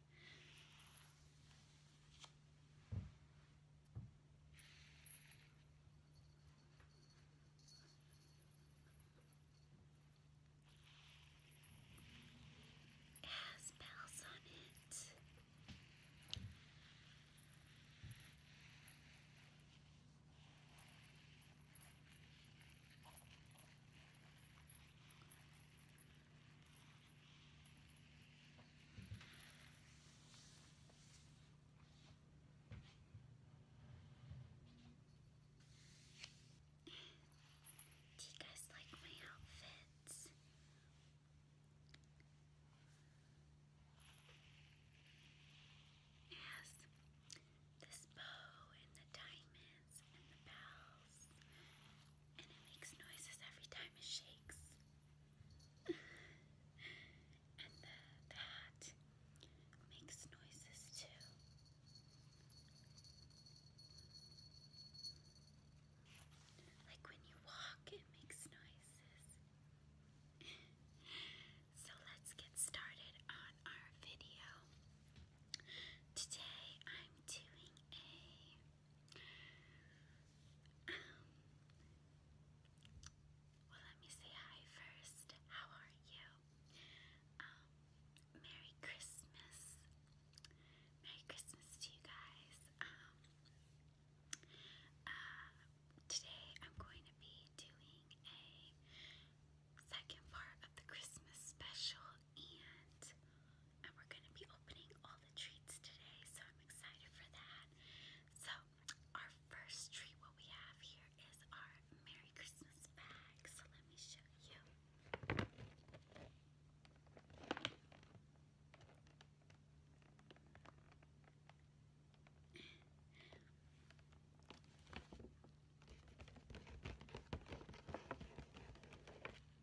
It has bells on it. Do you guys like my outfits? It this bow and the diamonds and the bells, and it makes noises every time it shakes and the, hat makes noises too. Like when you walk, it makes noises. so let's get started on our video. Today I'm doing a well, let me say hi first. How are you? Um, Merry Christmas. Merry Christmas to you guys. Um, uh, today I'm going to be doing a second part of the Christmas special and and we're going to be opening all the treats today, so I'm excited for that. So, our first treat, what we have here is our Merry Christmas bag. So, let me show you.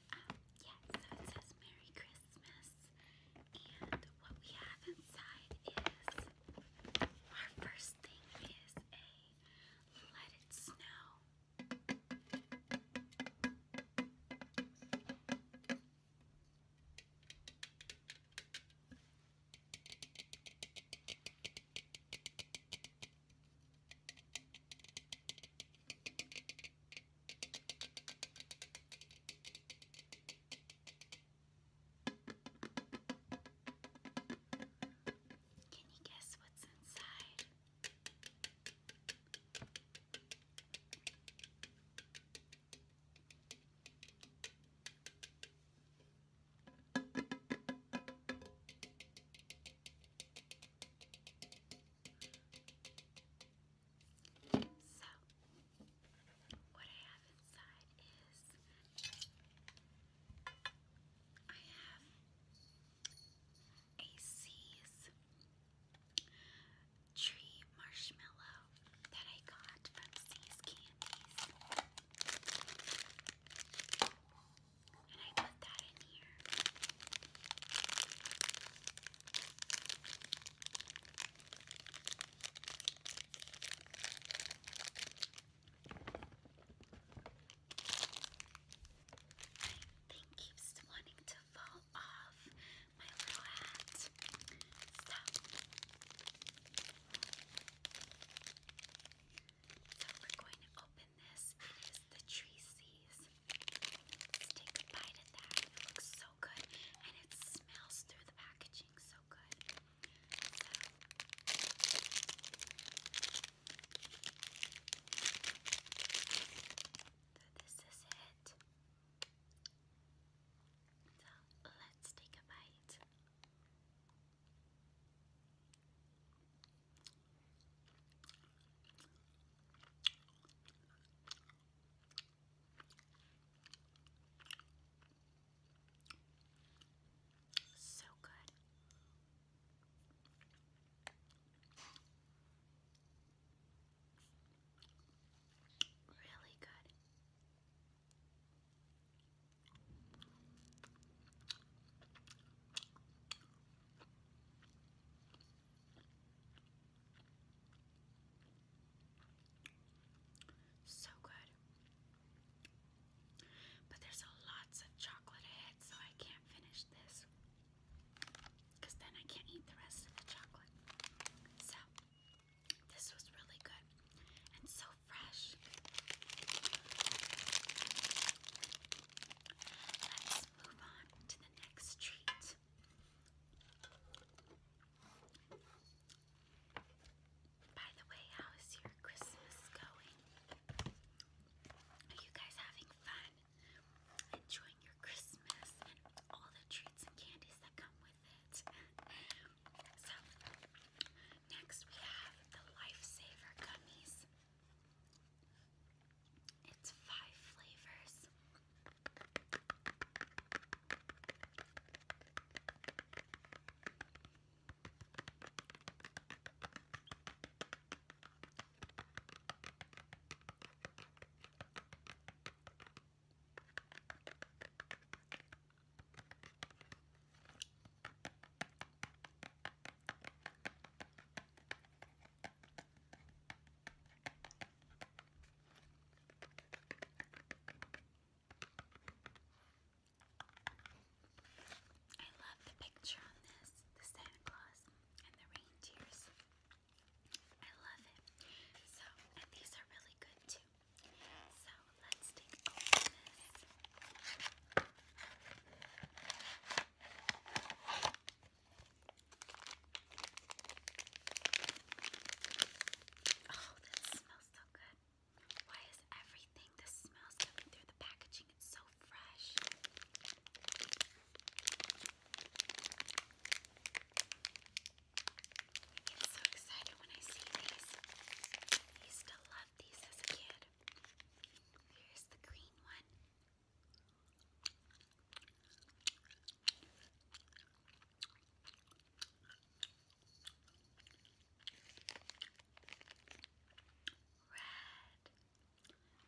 yeah, so it says Merry Christmas, and what we have inside is our first thing is a Let It Snow. Can you guess what's inside? So, what I have inside is I have a C's tree marshmallow that I got from C's Candies. And I put that in here. Thing keeps wanting to fall off my little hat. So we're going to open this. It is the tree Let's take a bite of that. It looks so good and it smells through the packaging so good. So, this is it. So let's take a bite. So good. Really good. So good. But there's lots of chocolate ahead, so I can't finish this. Because then I can't eat the rest of the chocolate. So, this was really good and so fresh. Let's move on to the next treat this. By the way, how is your Christmas going? Are you guys having fun? Enjoying your Christmas and all the treats and candies that come with it. So, next we have the Lifesaver Gummies. It's five flavors. I love the picture on this, the Santa Claus and the reindeers. I love it. So, and these are really good too. So, let's take over this. Oh, this smells so good. Why is everything the smells coming through the packaging? It's so fresh. I get so excited when I see these. used to love these as a kid. Here's the green one. Red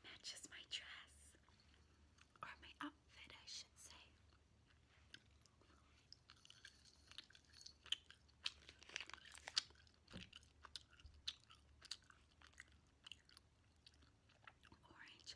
matches my dress, or my outfit, I should say. Orange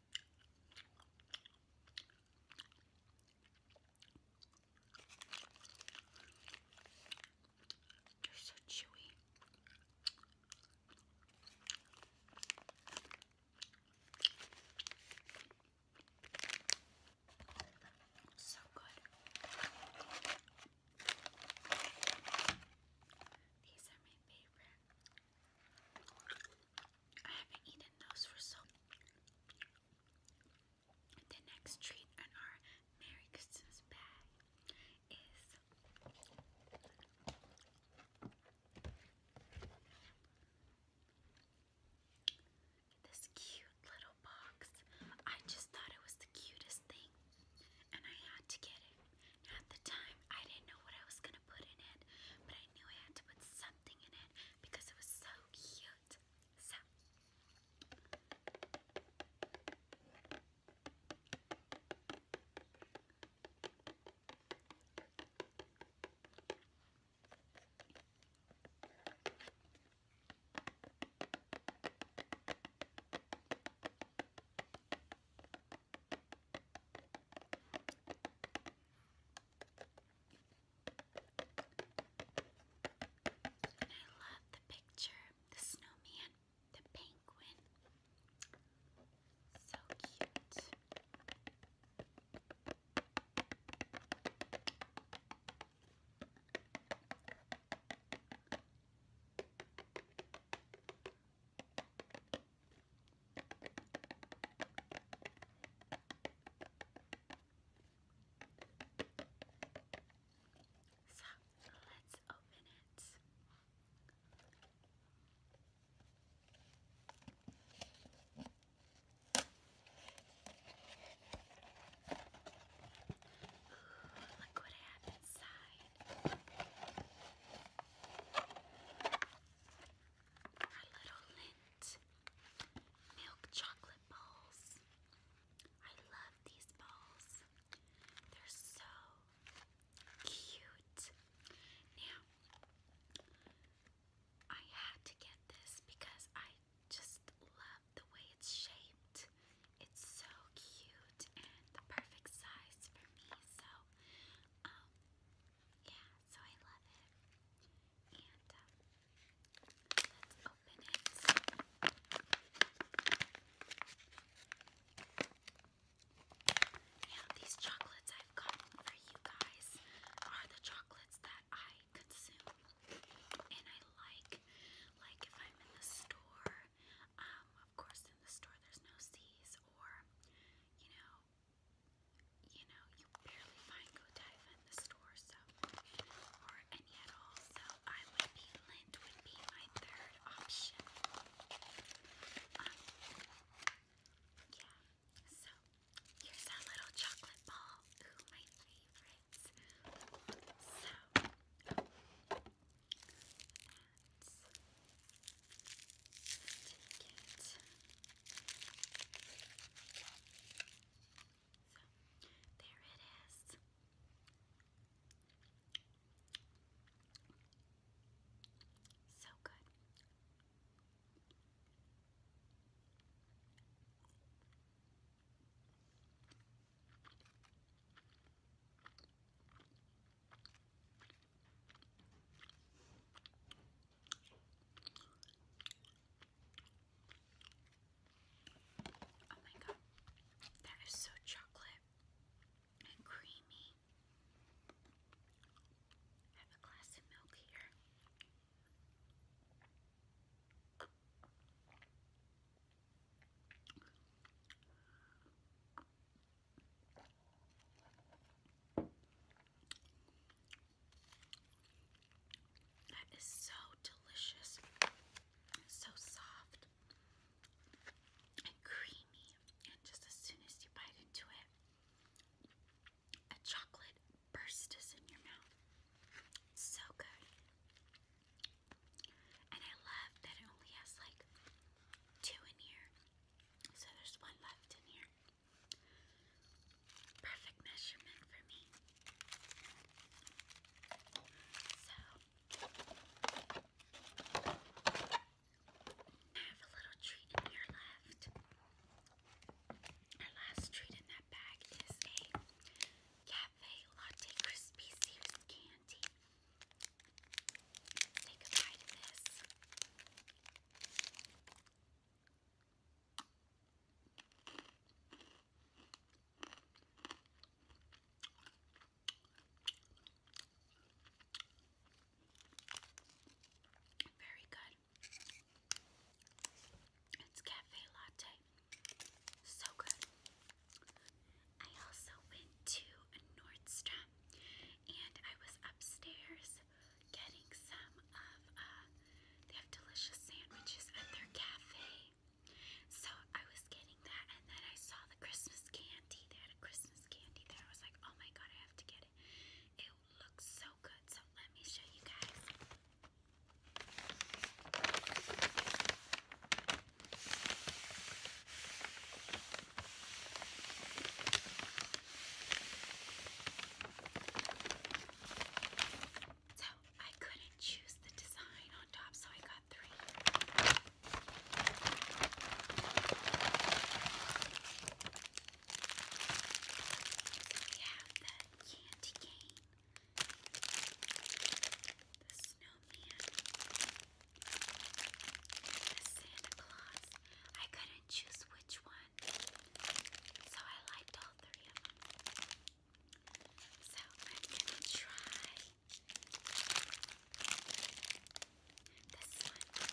They're so chewy. So good. These are my favorite. I haven't eaten those for so The next treat on our Merry Christmas bag is this cute little box. I just thought it was the cutest thing and I had to get it. At the time, I didn't know what I was going to going to put in it, but I knew I had to put something in it because it was so cute. So. And I love the picture, the snowman, the penguin. So cute. So let's open it. Ooh, look what I have inside our little lint milk chocolate balls. I love these balls. They're so cute. Now, I had to get this because I just love the way it's shaped. It's so cute and the perfect size for me. So, um, yeah, so I love it. And um, let's open it. Yeah, these chocolates I've gotten for you guys are the chocolates that I consume and I like. Like if I'm in the store, um, of course in the store there's no C's or, you know, you know, you barely find Godiva in the store, so, or any at all, so I would be, lint would be my third option. Um, yeah, so, here's our little chocolate ball, ooh, my favorites. So, so there it is. So good. Oh my god, that is so chocolate and creamy. have a glass of milk here. That is so delicious, so soft and creamy, and just as soon as you bite into it, a chocolate burst is in your mouth. So good. And I love that it only has like two in here. So there's one left in here perfect measurement for me. So, I have a little treat here left. Our last treat in that bag is a Cafe Latte Crispy Sears Candy. Take a bite this. Very good. It's cafe latte. So good. I also went to a Nordstrom and I was upstairs getting some of, uh, they have delicious sandwiches at their cafe. So I was getting that, and then I saw the Christmas candy. They had a Christmas candy there. I was like, oh my god, I have to get it. It looks so good, so let me show you guys. So I couldn't choose the design on top, so I got three. So the candy cane, the snowman, the Santa Claus. I couldn't choose which one one. So I liked all three of them. So I'm gonna try this one.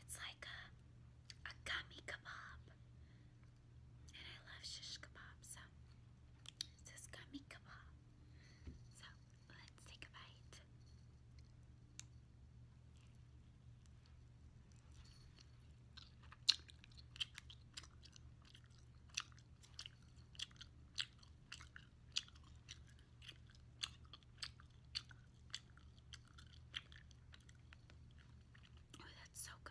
It's like a, a gummy kebab. And I love shish kebab, so this gummy kebab. So let's take a bite. Oh, that's so good.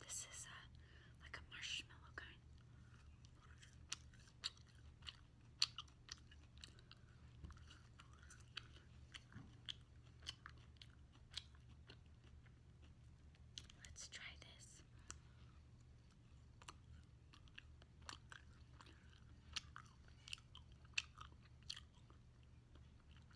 This is a like a marshmallow kind. Let's try this.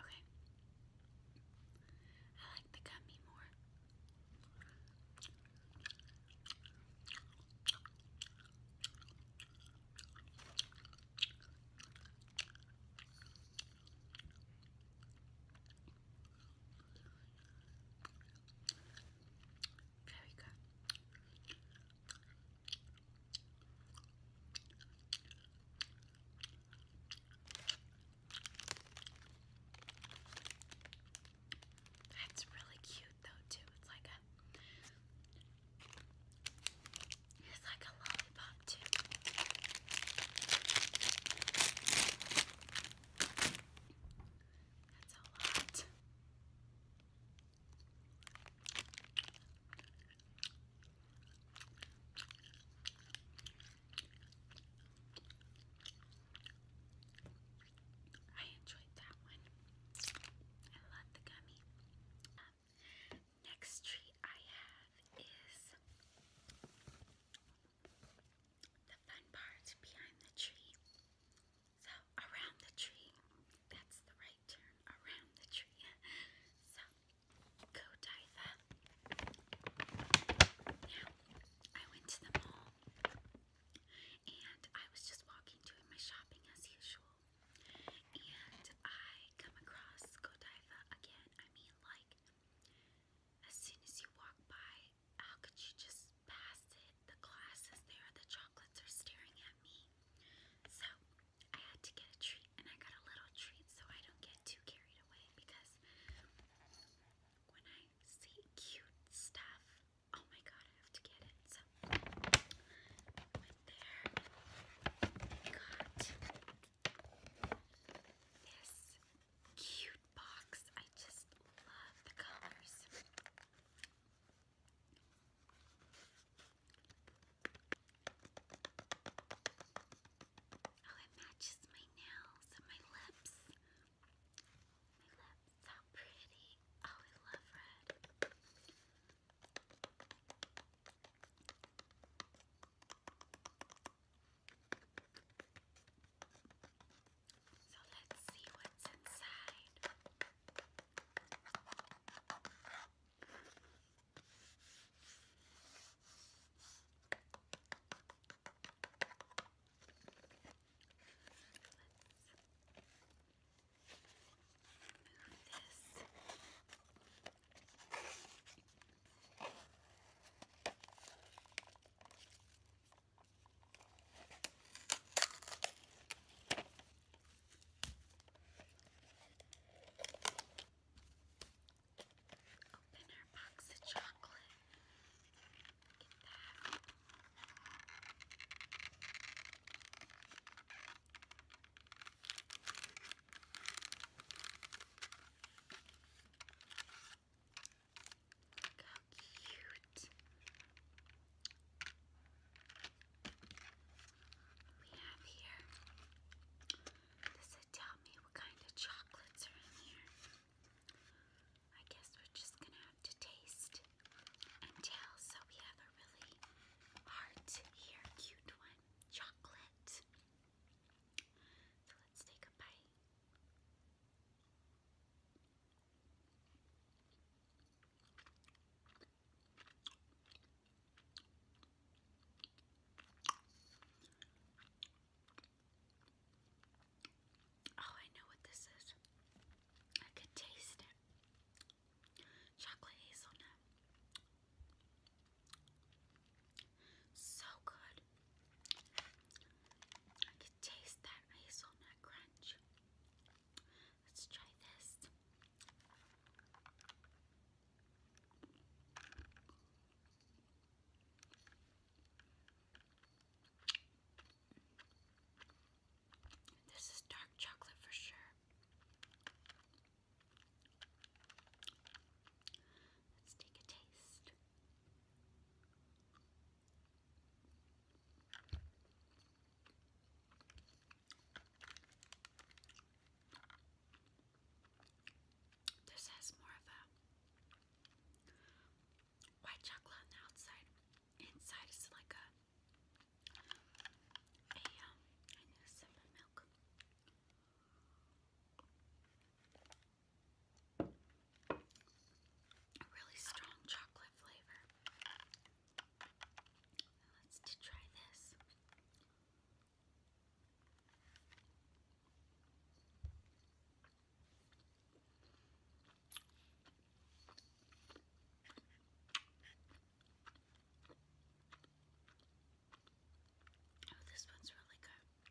Okay. I like the gummy more. Very good. That's really cute though too. It's like a it's like a lollipop too. That's a lot. I enjoyed that one. I love the gummy. next treat I have is the fun part behind the tree. So around the tree. That's the right turn. Around the tree. So go Diva. I went to the mall and I was just walking doing my shopping as usual. And I come across Godiva again. I mean like as soon as you walk by, how could you just past The glass there. The chocolates are staring at me. So I had to get a treat, and I got a little treat so I don't get too carried away because when I see cute stuff, oh my god, I have to get it. So went there. got this cute box. I just love the colors. Oh, it matches my nails and my lips. My lips, how pretty. Oh, I love red. So let's see what's inside. Let's move this. Open our box of chocolate. Get that. Look cute. We have here. Does it tell me what kind of chocolates are in here? I guess we're just gonna have to taste and tell. So we have a really heart here, cute one, chocolate. So let's take a bite. Oh, I know what this is. I could taste it. Chocolate hazelnut. So good. I could taste that hazelnut crunch. Let's try this. This is dark chocolate for sure. Let's take a taste. This has more of a white chocolate on the outside. Inside is like a a um I milk. A really strong chocolate flavor. Let's try this. Oh, this one's really good.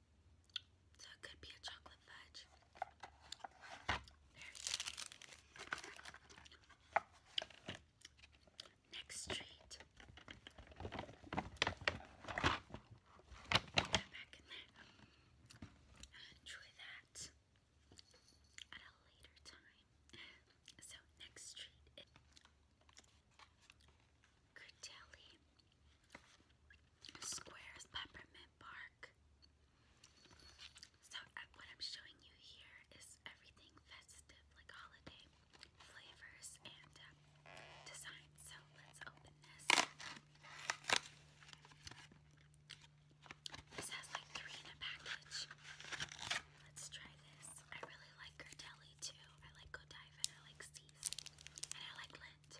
So it could be a chocolate fudge. Next treat. Get back in there. Enjoy that at a later time. So next treat is Squares Peppermint Bark. So, uh, what I'm showing you here is everything festive, like holiday flavors and uh, So, let's open this. This has like three in a package. Let's try this. I really like Gurdelli too. I like Godiva and I like C's. And I like Lint.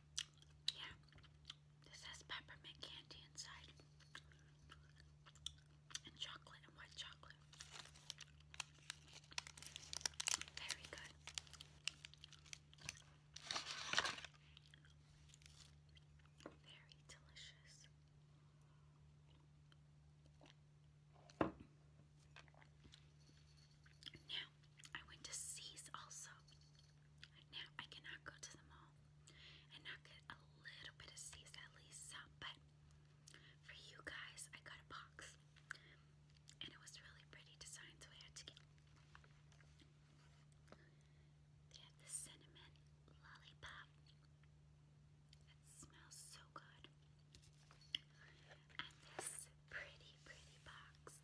Yeah, this has peppermint candy inside and chocolate and white chocolate. Very good. Very delicious. Now, I went to C's also. Now, I cannot go to the mall and not get a little bit of C's, at least some. But for you guys, I got a box. And it was really pretty design, so I had to get They had the cinnamon lollipop. It smells so good. And this pretty, pretty box.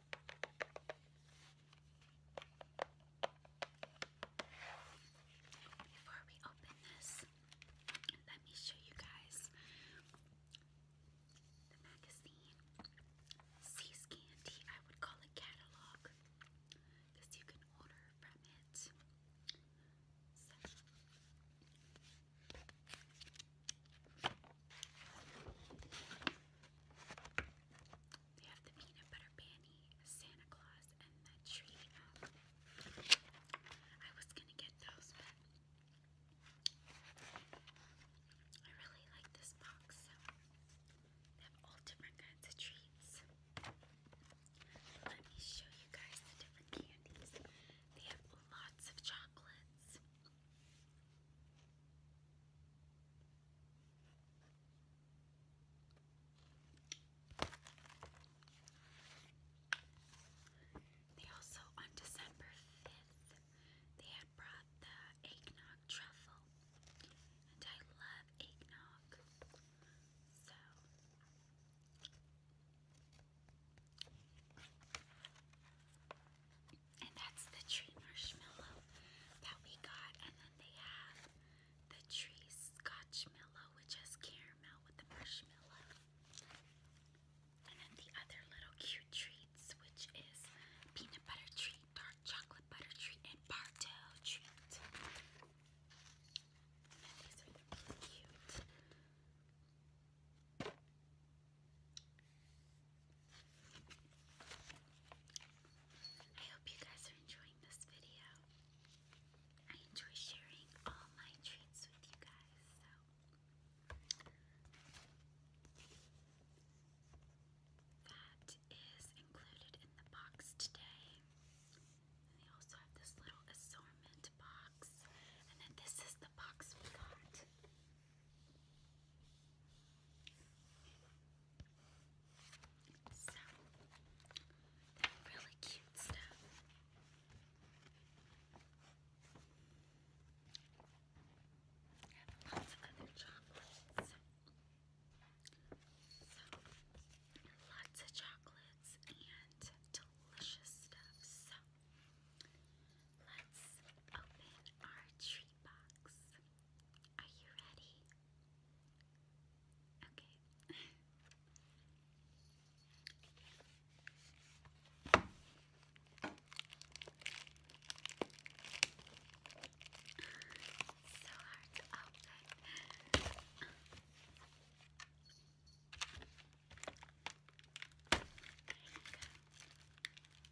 Before we open this, let me show you guys the magazine. Seas Candy, I would call it catalog because you can order from it. They have the peanut butter panty, Santa Claus, and the tree. I was gonna get those, but I really like this box. they have all different kinds of treats. Let me show you guys the different candies. They have lots of chocolates. They also, on December 5th, they had brought the eggnog truffle. And I love eggnog. So, and that's the tree marshmallow that we got. And then they have the tree scotch mellow, which has caramel with the marshmallow. And then the other little cute treats, which is peanut butter treat, dark chocolate butter treat, and Bartow treat. And these are really cute. I hope you guys are enjoying this video. I enjoy sharing all my treats with you guys, so. That is included in the box today. they also have this little assortment box. And then this is the box we got. So, really cute stuff. lots of other chocolates. So, lots of chocolates and delicious stuff. So, let's open our treat box. Are you ready? Okay. so hard to open. There you go.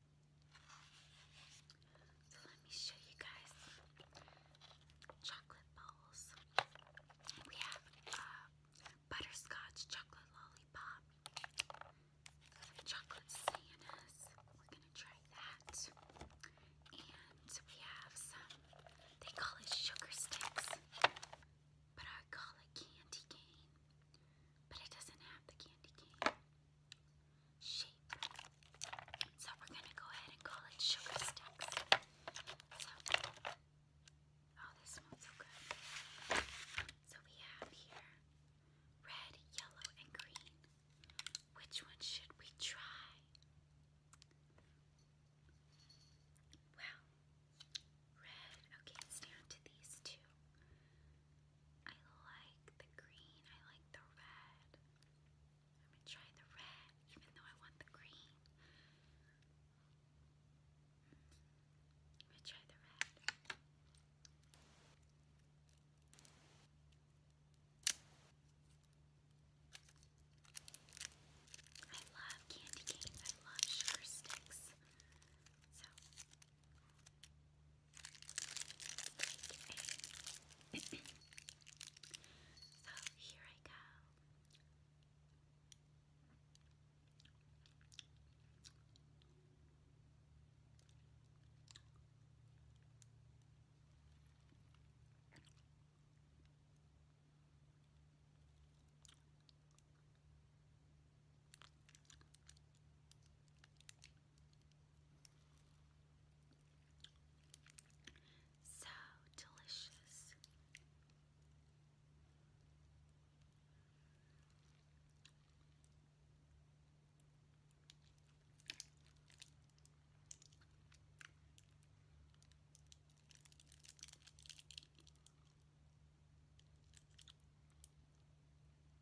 So let me show you guys chocolate bowls. We have butterscotch chocolate lollipop, chocolate Santas. We're gonna try that, and we have some. They call it sugar sticks, but I call it candy cane. But it doesn't have the candy cane. So we're gonna go ahead and call it sugar sticks. oh, this smells so good. So we have here red, yellow, and green. Which one should we try? Well, red. Okay, it's to these two. I like the green, I like the red. I'm gonna try the red, even though I want the green. I'm gonna try the red. I love candy canes, I love sugar sticks. So, so here I go. So delicious.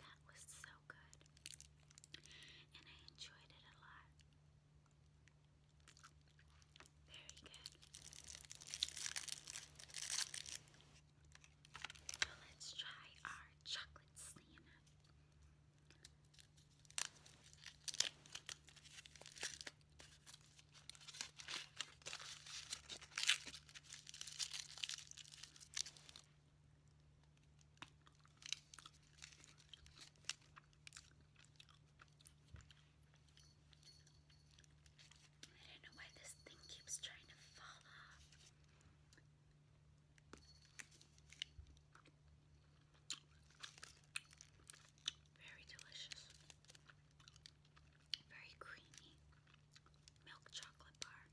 That was so good, and I enjoyed it a lot. Very good. let's try our chocolate Santa. I don't know why this thing keeps trying to fall off. Very delicious. Very creamy milk chocolate bar.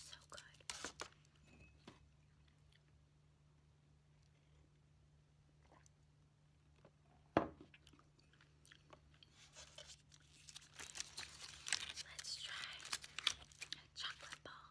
So good. Let's try a chocolate ball.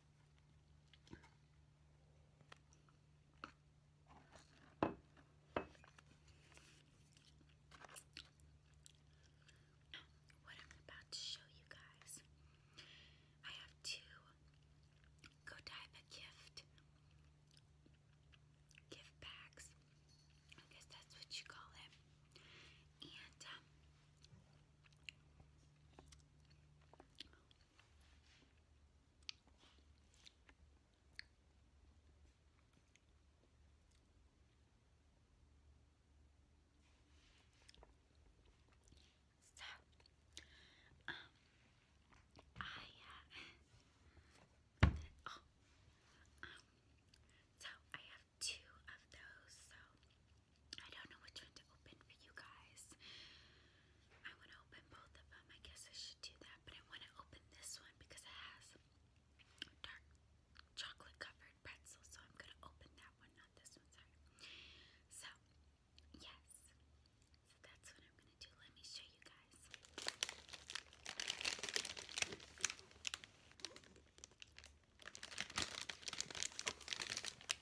What I'm about to show you guys, I have two Godiva gift gift bags. I guess that's what you call it. And um, so, um, I, oh, um, so I have two of those, so I don't know which one to open for you guys. I want to open both of them. I guess I should do that, but I want to open this one because it has dark chocolate covered pretzel. So I'm gonna open that one, not this one. Sorry. So yes, so that's what I'm gonna do. Let me show you guys.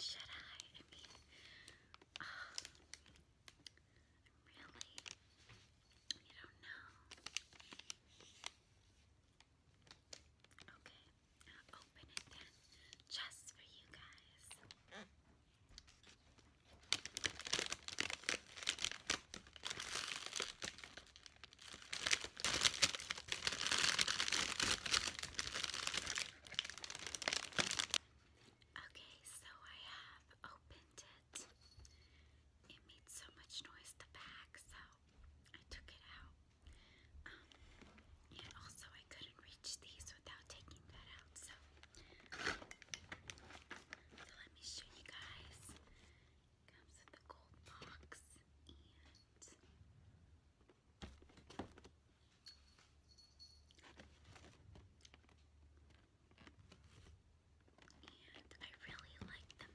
Should I? I mean, really? You don't know. Okay, I'll open it then, just for you guys. Okay, so I have opened it. It made so much noise, the bag, so I took it out. Um, and also, I couldn't reach these without taking that out, so. let me show you guys. Comes with the gold box and and I really like the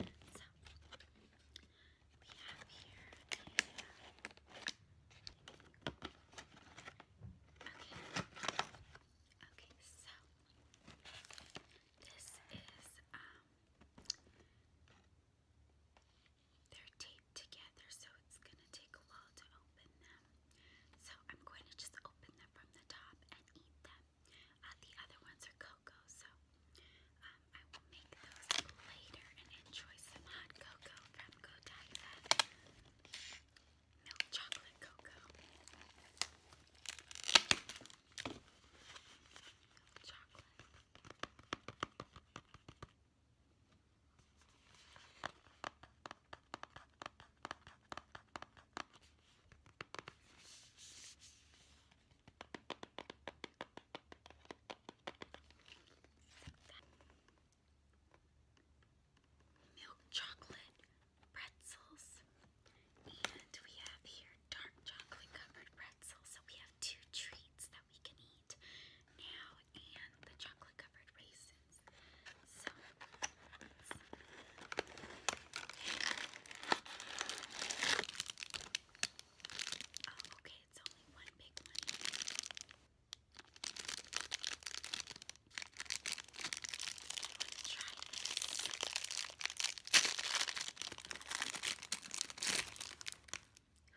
mug. So we have here Okay. Okay, so this is um they're taped together, so it's going to take a while to open them. So I'm going to just open them from the top and eat them. Uh, the other ones are cocoa, so um, I will make those later and enjoy some hot cocoa from Godiva. Milk chocolate cocoa. Milk chocolate pretzels, and we have here dark chocolate covered pretzels. So we have two treats that we can eat now and the chocolate covered raisins. So okay, it's only one big try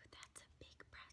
that's a big press.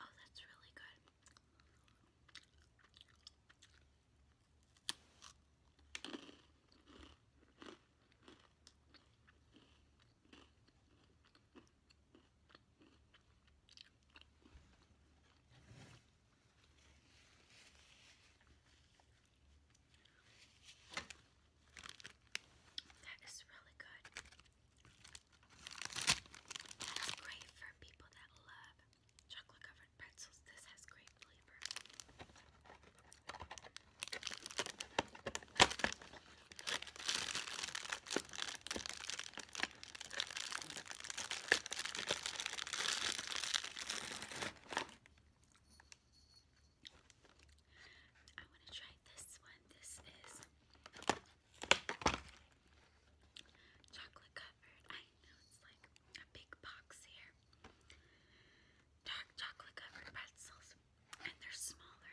Oh, that's really good. That is really good great for people that love chocolate covered pretzels. This has great flavor. I want to try this one. This is chocolate covered. I know it's like a big box here. chocolate covered pretzels, and they're smaller.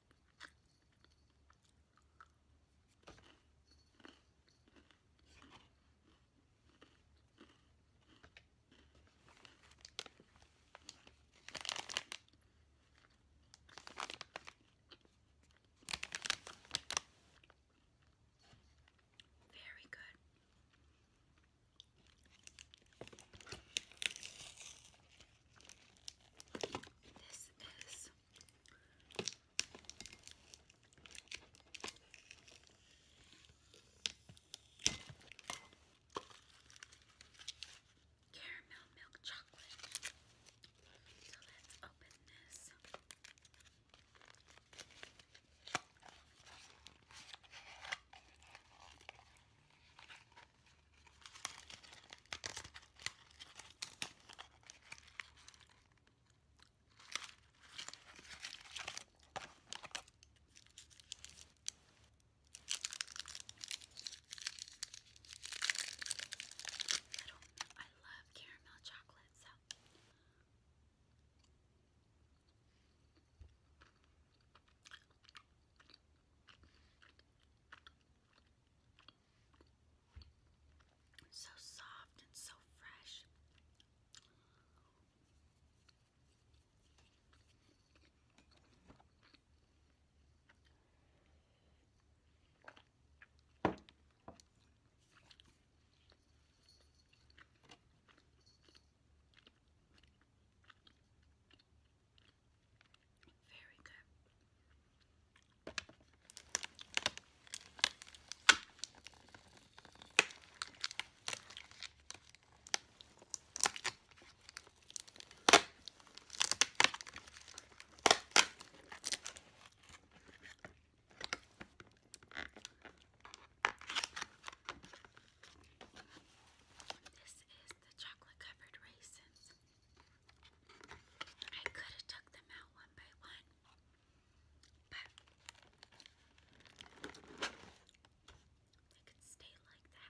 Very good. This is Caramel milk chocolate. So let's open this. I don't I love caramel chocolate so so soft and so fresh. Very good. This is the chocolate covered raisins. I could have took them out one by one, but they could stay like that.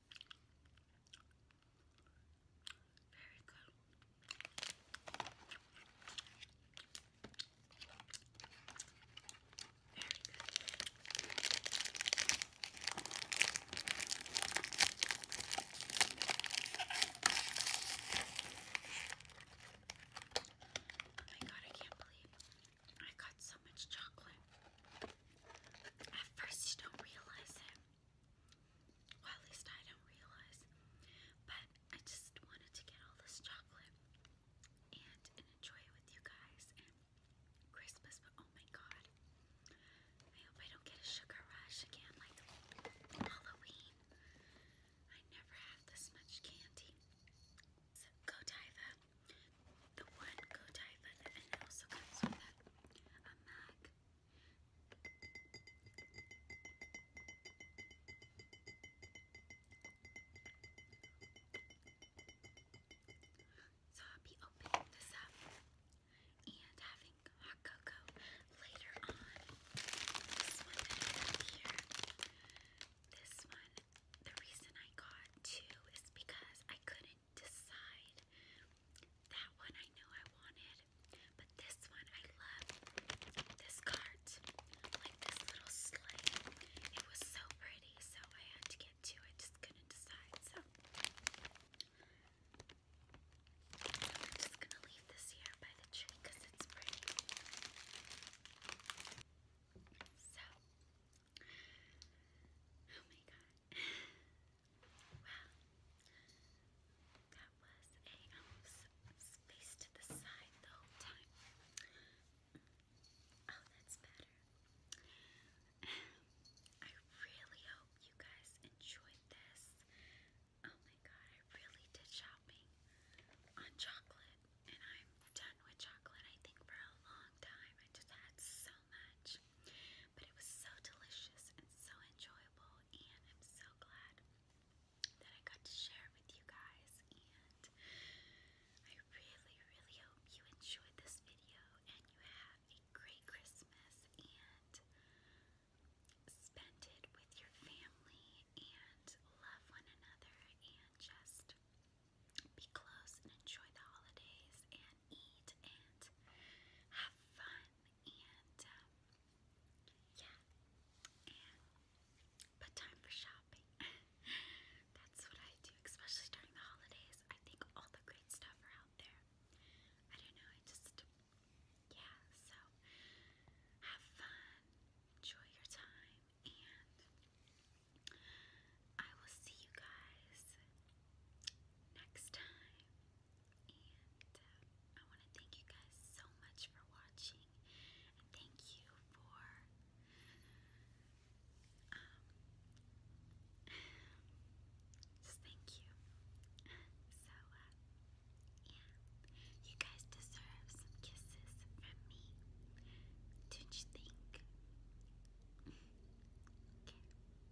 Very good. Very good. Oh my god, I can't believe I got so much chocolate. At first, you don't realize it. Well, at least I don't realize. But I just wanted to get all this chocolate and, and enjoy it with you guys and Christmas. But oh my god, I hope I don't get a sugar rush again like Halloween. I never have this much candy. So, Godiva the one go diver and also comes with a, a So I'll be opening this up and having hot cocoa later on. this one, the reason I got two is because I couldn't decide. That one I knew I wanted, but this one I love. This cart, like this little sleigh, it was so pretty, so I had to get two. I just couldn't decide, so. I'm just gonna leave this here by the tree because it's pretty. So, oh my god. Wow. That was a um, space to the side the mm. Oh, that's better. Um, I really hope you guys enjoyed this. Oh my god, I really did shopping on chocolate, and I'm done with chocolate, I think, for a long time. I just had so much. But it was so delicious and so enjoyable, and I'm so glad that I got to share it with you guys. And I really, really hope you enjoyed this video and you have a great Christmas and spend it with your family and love one another and just be close and enjoy the holidays and eat and have fun and uh, yeah, and but time for shopping. That's what I do, especially during the holidays. I think all the great stuff are out there. I don't know, I just, yeah, so have fun, enjoy your time, and I will see you guys next time. And uh, I want to thank you guys so much for watching. thank you for um, just thank you. So uh, yeah, you guys deserve some kisses from me. Don't you think? okay.